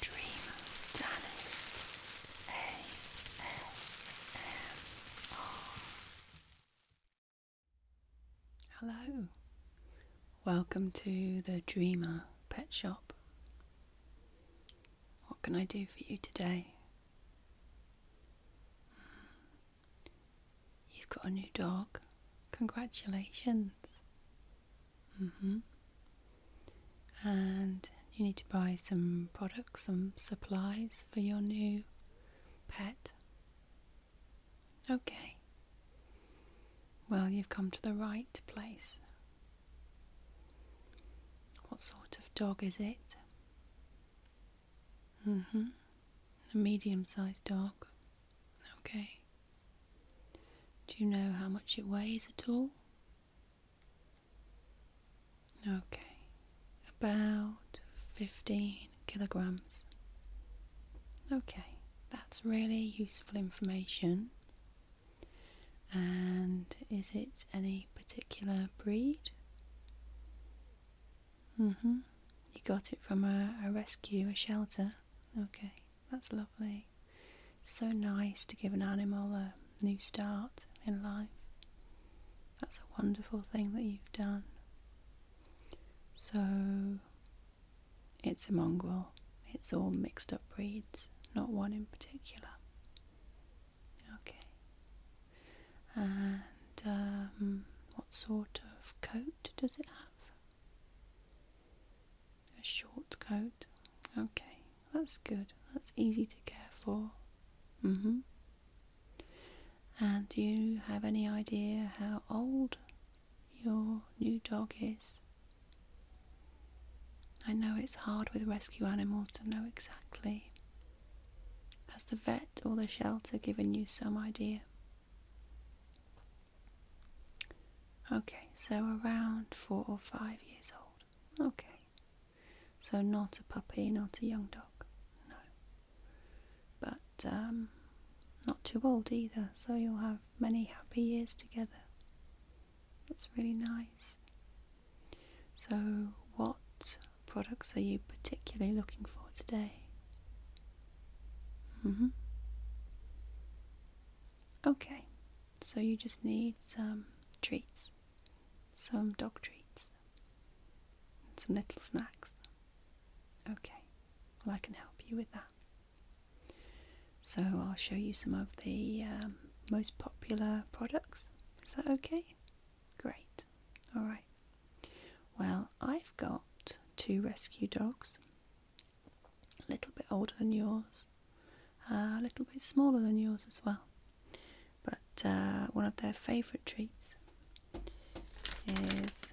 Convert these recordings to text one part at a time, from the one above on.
Dreamer, Hello, welcome to the Dreamer Pet Shop. What can I do for you today? Hmm. You've got a new dog. Congratulations. Mm -hmm. And you need to buy some products, some supplies for your new pet. Okay. Well, you've come to the right place. What sort of dog is it? Mm hmm. A medium sized dog. Okay. Do you know how much it weighs at all? Okay, about 15 kilograms. Okay, that's really useful information. And is it any particular breed? Mm hmm. You got it from a, a rescue, a shelter? Okay. That's lovely. So nice to give an animal a new start in life. That's a wonderful thing that you've done. So, it's a mongrel. It's all mixed up breeds, not one in particular. Okay. And um, what sort of coat does it have? A short coat. Okay, that's good. That's easy to care for. Mm hmm. And do you have any idea how old your new dog is? I know it's hard with rescue animals to know exactly. Has the vet or the shelter given you some idea? Okay, so around four or five years old. Okay. So, not a puppy, not a young dog. No. But um, not too old either, so you'll have many happy years together. That's really nice. So, what products are you particularly looking for today? Mm hmm. Okay, so you just need some treats, some dog treats, some little snacks. Okay, well, I can help you with that. So I'll show you some of the um, most popular products. Is that okay? Great. All right. Well, I've got two rescue dogs a little bit older than yours, uh, a little bit smaller than yours as well. But uh, one of their favourite treats is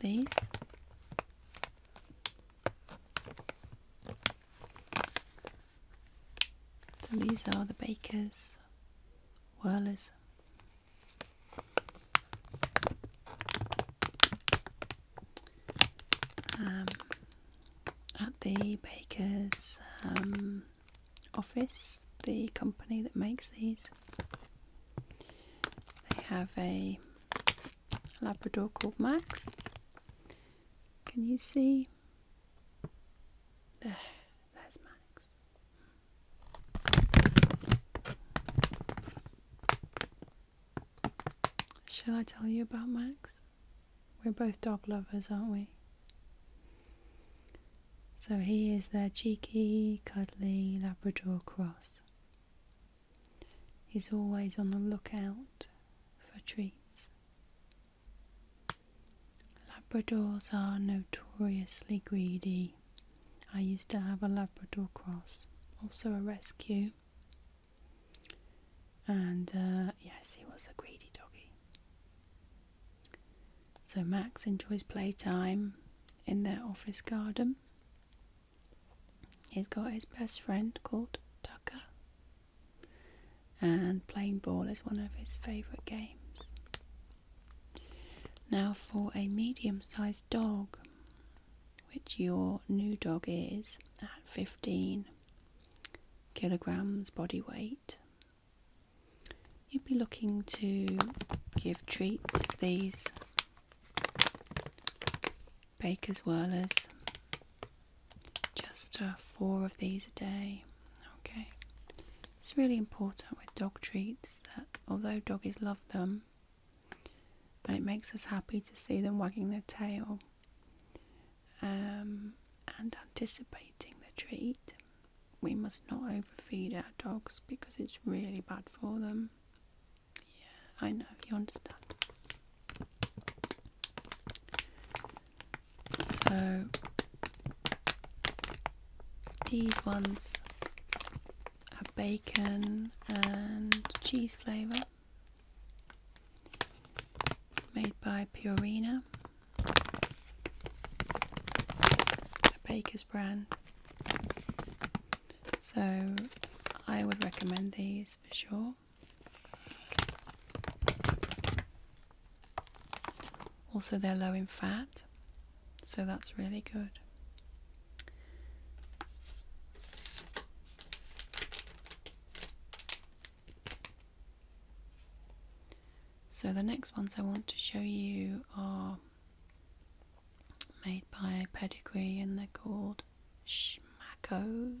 these so these are the baker's whirlers um, at the baker's um, office the company that makes these they have a Labrador called Max. Can you see? there's Max. Shall I tell you about Max? We're both dog lovers, aren't we? So he is their cheeky, cuddly Labrador cross. He's always on the lookout for treats. Labradors are notoriously greedy. I used to have a Labrador cross, also a rescue. And uh, yes, he was a greedy doggy. So Max enjoys playtime in their office garden. He's got his best friend called Tucker, and playing ball is one of his favourite games. Now, for a medium sized dog, which your new dog is at 15 kilograms body weight, you'd be looking to give treats these baker's whirlers just uh, four of these a day okay it's really important with dog treats that although doggies love them it makes us happy to see them wagging their tail um, and anticipating the treat we must not overfeed our dogs because it's really bad for them. Yeah, I know, you understand. So, these ones are bacon and cheese flavour, made by Purina, a baker's brand. So I would recommend these for sure. Also, they're low in fat, so that's really good. So the next ones I want to show you are made by Pedigree and they're called Schmackos.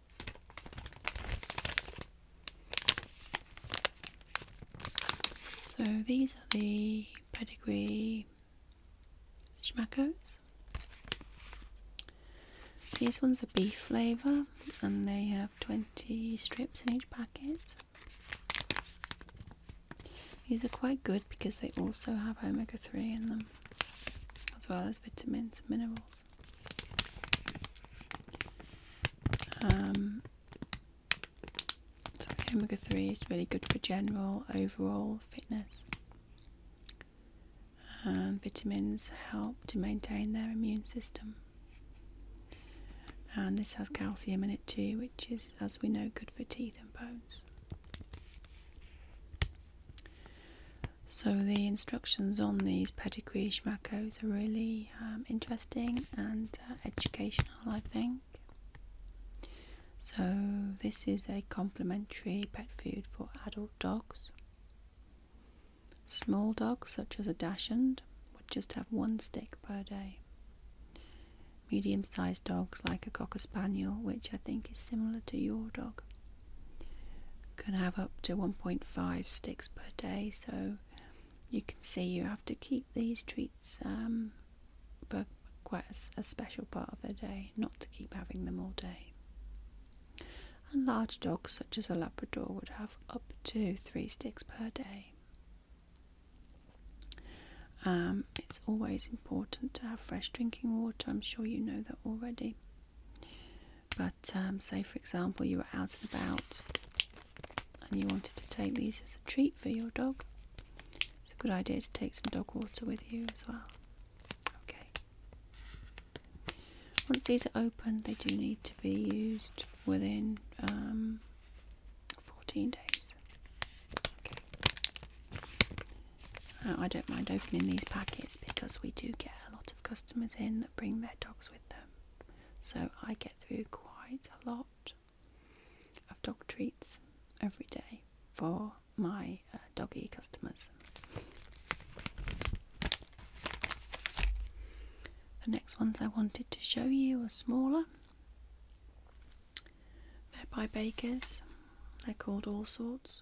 So these are the pedigree schmackos. These ones are beef flavour and they have 20 strips in each packet. These are quite good because they also have omega 3 in them, as well as vitamins and minerals. Um, so omega 3 is really good for general overall fitness. Um, vitamins help to maintain their immune system. And this has calcium in it too, which is, as we know, good for teeth and bones. So the instructions on these pedigree schmackos are really um, interesting and uh, educational, I think. So, this is a complementary pet food for adult dogs. Small dogs, such as a dachshund, would just have one stick per day. Medium sized dogs, like a cocker spaniel, which I think is similar to your dog, can have up to 1.5 sticks per day, so you can see you have to keep these treats um, for quite a, special part of the day, not to keep having them all day. And large dogs, such as a Labrador, would have up to three sticks per day. Um, it's always important to have fresh drinking water, I'm sure you know that already. But um, say, for example, you were out and about and you wanted to take these as a treat for your dog. It's a good idea to take some dog water with you as well. Okay. Once these are open, they do need to be used within um, 14 days. Uh, I don't mind opening these packets because we do get a lot of customers in that bring their dogs with them. So I get through quite a lot of dog treats every day for my uh, doggy customers. The next ones I wanted to show you are smaller. They're by Bakers. They're called all sorts.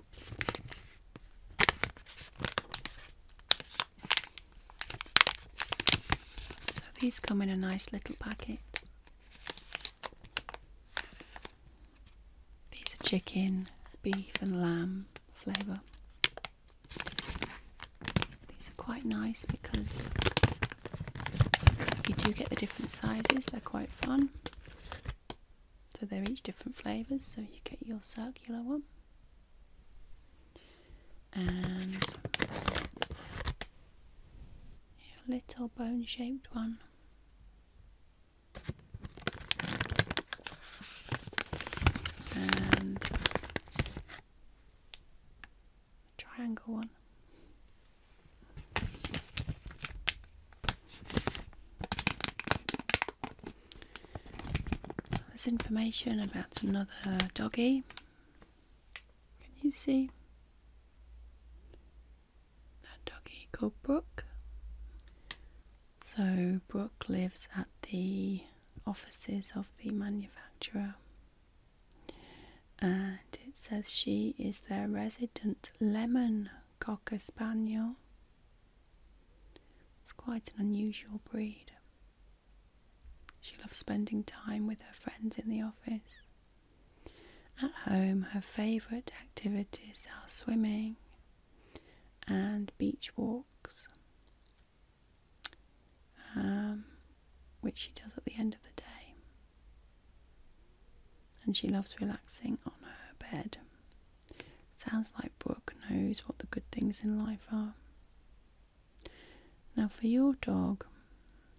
So these come in a nice little packet. These are chicken, beef, and lamb flavour. These are quite nice because you do get the different sizes, they're quite fun. So they're each different flavours, so you get your circular one and a little bone shaped one. And triangle one. There's information about another doggy. Can you see? That doggy called Brooke. So, Brooke lives at the offices of the manufacturer, and it says she is their resident lemon cocker spaniel. It's quite an unusual breed. She loves spending time with her friends in the office. At home, her favourite activities are swimming and beach walks, um, which she does at the end of the day. And she loves relaxing on her bed Sounds like Brooke knows what the good things in life are. Now, for your dog,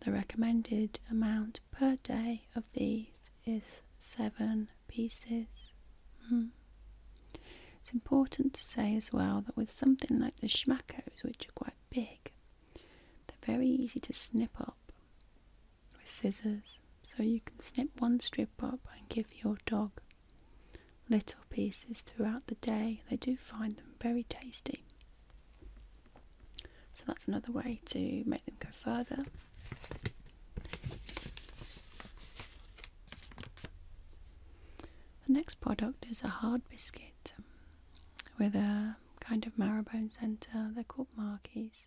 the recommended amount per day of these is seven pieces. Hmm. It's important to say as well that with something like the schmackos, which are quite big, they're very easy to snip up with scissors. So you can snip one strip up and give your dog little pieces throughout the day. They do find them very tasty. So that's another way to make them go further. The next product is a hard biscuit um, with a kind of marrowbone centre. They're called markies.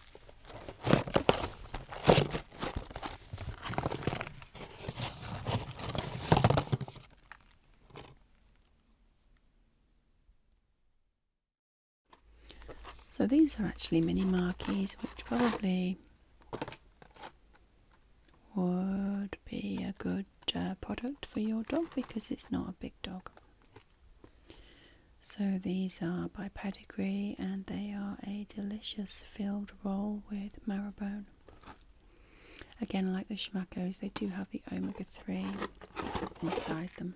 So these are actually mini marquees, which probably would be a good uh, product for your dog because it's not a big dog. So these are by Pedigree and they are a delicious filled roll with marrowbone. Again, like the schmackos, they do have the omega 3 inside them.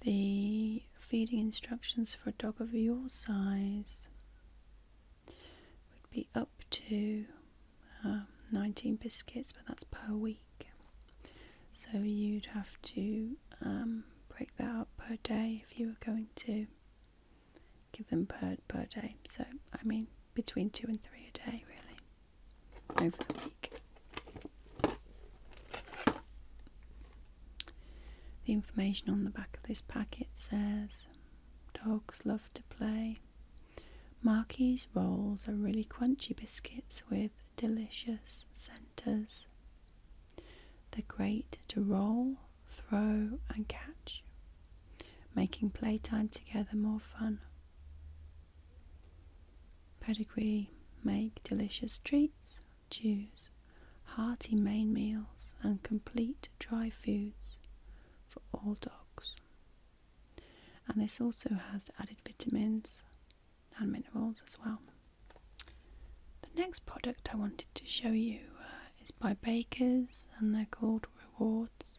The feeding instructions for a dog of your size would be up to um, 19 biscuits, but that's per week. So you'd have to um, break that up per day if you were going to give them per, per day. So, I mean, between two and three a day, really, over the week. The information on the back of this packet says dogs love to play. Marky's rolls are really crunchy biscuits with delicious centers The great to roll, throw, and catch, making playtime together more fun. Pedigree make delicious treats, chews, hearty main meals, and complete dry foods for all dogs. And this also has added vitamins and minerals as well. The next product I wanted to show you uh, is by Baker's and they're called Rewards.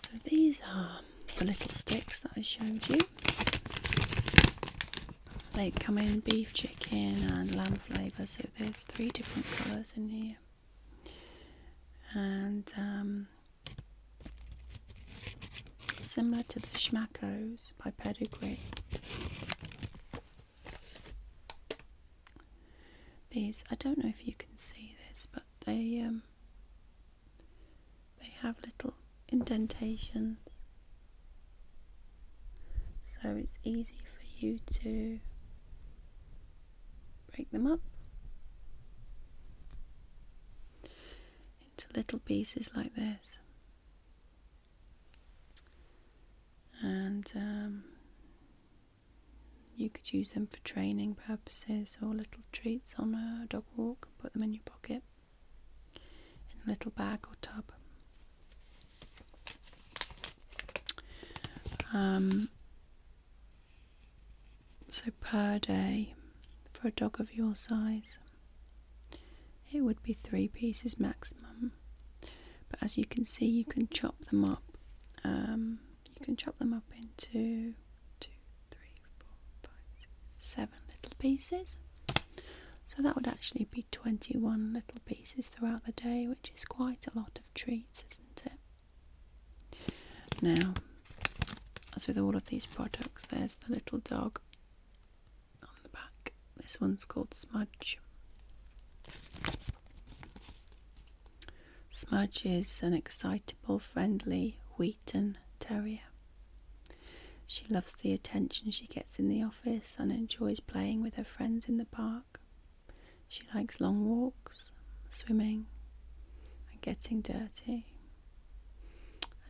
So these are the little sticks that I showed you. They come in beef, chicken, and lamb flavour. So there's three different colours in here and um, similar to the Schmackos by Pedigree. These, I don't know if you can see this, but they um, they have little indentations, so it's easy for you to break them up into little pieces like this. And um, you could use them for training purposes or little treats on a dog walk, put them in your pocket in a little bag or tub. Um, so, per day for a dog of your size, it would be three pieces maximum. But as you can see, you can chop them up. Um, you can chop them up into seven little pieces. So that would actually be 21 little pieces throughout the day, which is quite a lot of treats, isn't it? Now, as with all of these products, there's the little dog on the back. This one's called Smudge. Smudge is an excitable, friendly Wheaten Terrier. She loves the attention she gets in the office and enjoys playing with her friends in the park. She likes long walks, swimming, and getting dirty.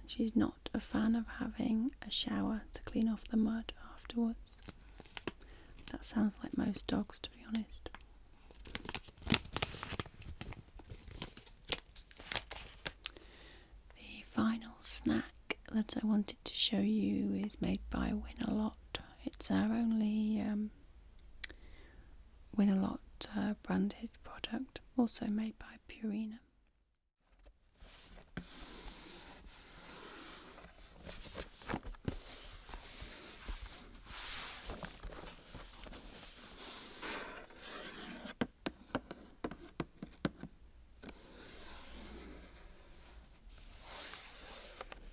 And she's not a fan of having a shower to clean off the mud afterwards. That sounds like most dogs, to be honest. The final snack that I wanted to show you is made by Win a Lot. It's our only um, with a lot uh, branded product also made by Purina.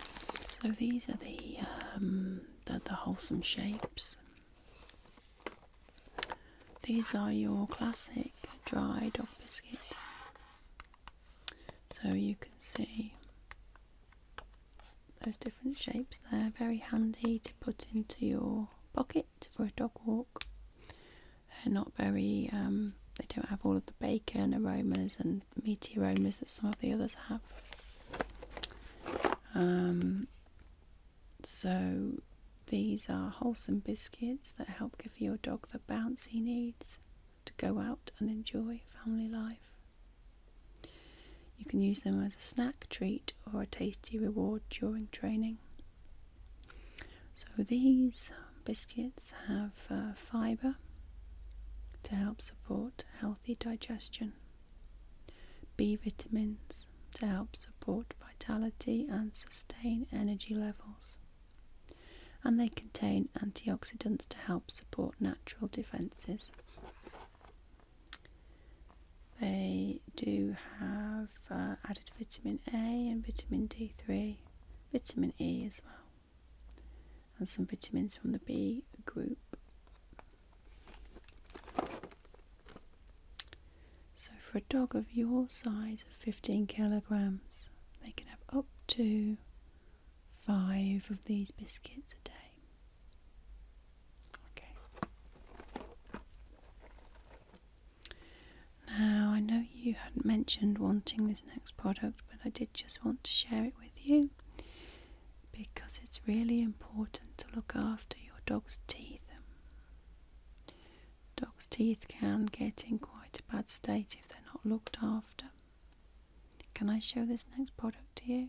So these are um, the the wholesome shapes. These are your classic dry dog biscuit. So you can see those different shapes they're very handy to put into your pocket for a dog walk they're not very um, they don't have all of the bacon aromas and meaty aromas that some of the others have um, so these are wholesome biscuits that help give your dog the bounce he needs to go out and enjoy family life you can use them as a snack, treat, or a tasty reward during training. So these biscuits have uh, fibre to help support healthy digestion, B vitamins to help support vitality and sustain energy levels, and they contain antioxidants to help support natural defences. They do have uh, added vitamin A and vitamin D3, vitamin E as well, and some vitamins from the B group. So, for a dog of your size of 15 kilograms, they can have up to five of these biscuits a day. Okay. Now, I know you hadn't mentioned wanting this next product, but I did just want to share it with you because it's really important to look after your dog's teeth. Dog's teeth can get in quite a bad state if they're not looked after. Can I show this next product to you?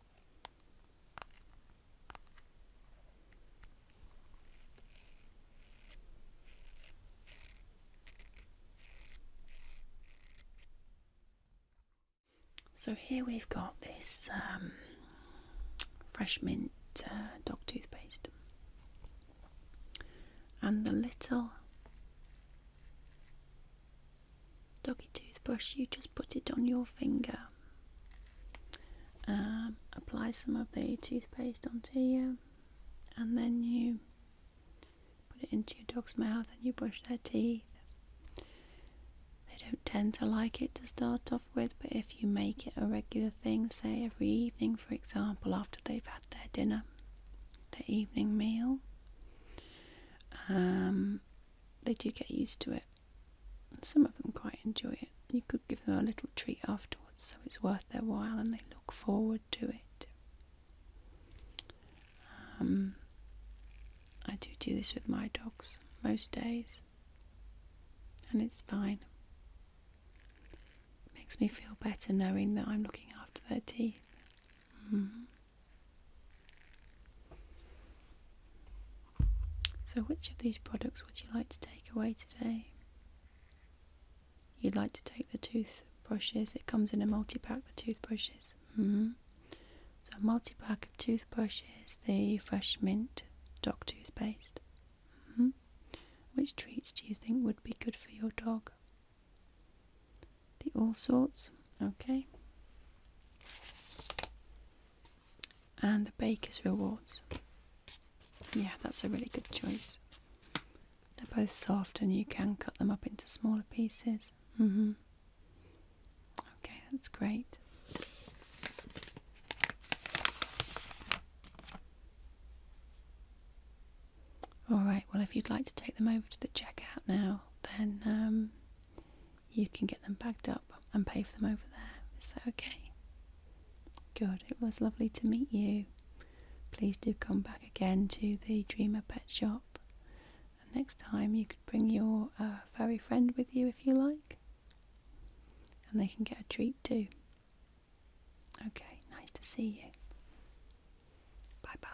So here we've got this um, fresh mint uh, dog toothpaste and the little doggy toothbrush, you just put it on your finger. Um, apply some of the toothpaste onto you, and then you put it into your dog's mouth and you brush their teeth. They don't tend to like it to start off with, but if you make it a regular thing, say every evening, for example, after they've had their dinner, their evening meal, um, they do get used to it. some of them quite enjoy it. You could give them a little treat afterwards, so it's worth their while and they look forward to it. Um, I do do this with my dogs most days, and it's fine. It makes me feel better knowing that I'm looking after their teeth. Mm-hmm. So, which of these products would you like to take away today? You'd like to take the toothbrushes, it comes in a multi pack, the toothbrushes. -hmm. So, a multi pack of toothbrushes, the fresh mint dog toothpaste. -hmm. Which treats do you think would be good for your dog? the all sorts okay and the baker's rewards yeah that's a really good choice they're both soft and you can cut them up into smaller pieces mm hmm okay that's great all right well if you'd like to take them over to the checkout now then um, you can get them bagged up and pay for them over there. Is that okay? Good, it was lovely to meet you. Please do come back again to the Dreamer Pet Shop. next time you could bring your uh, furry friend with you if you like. And they can get a treat too. Okay, nice to see you. Bye bye.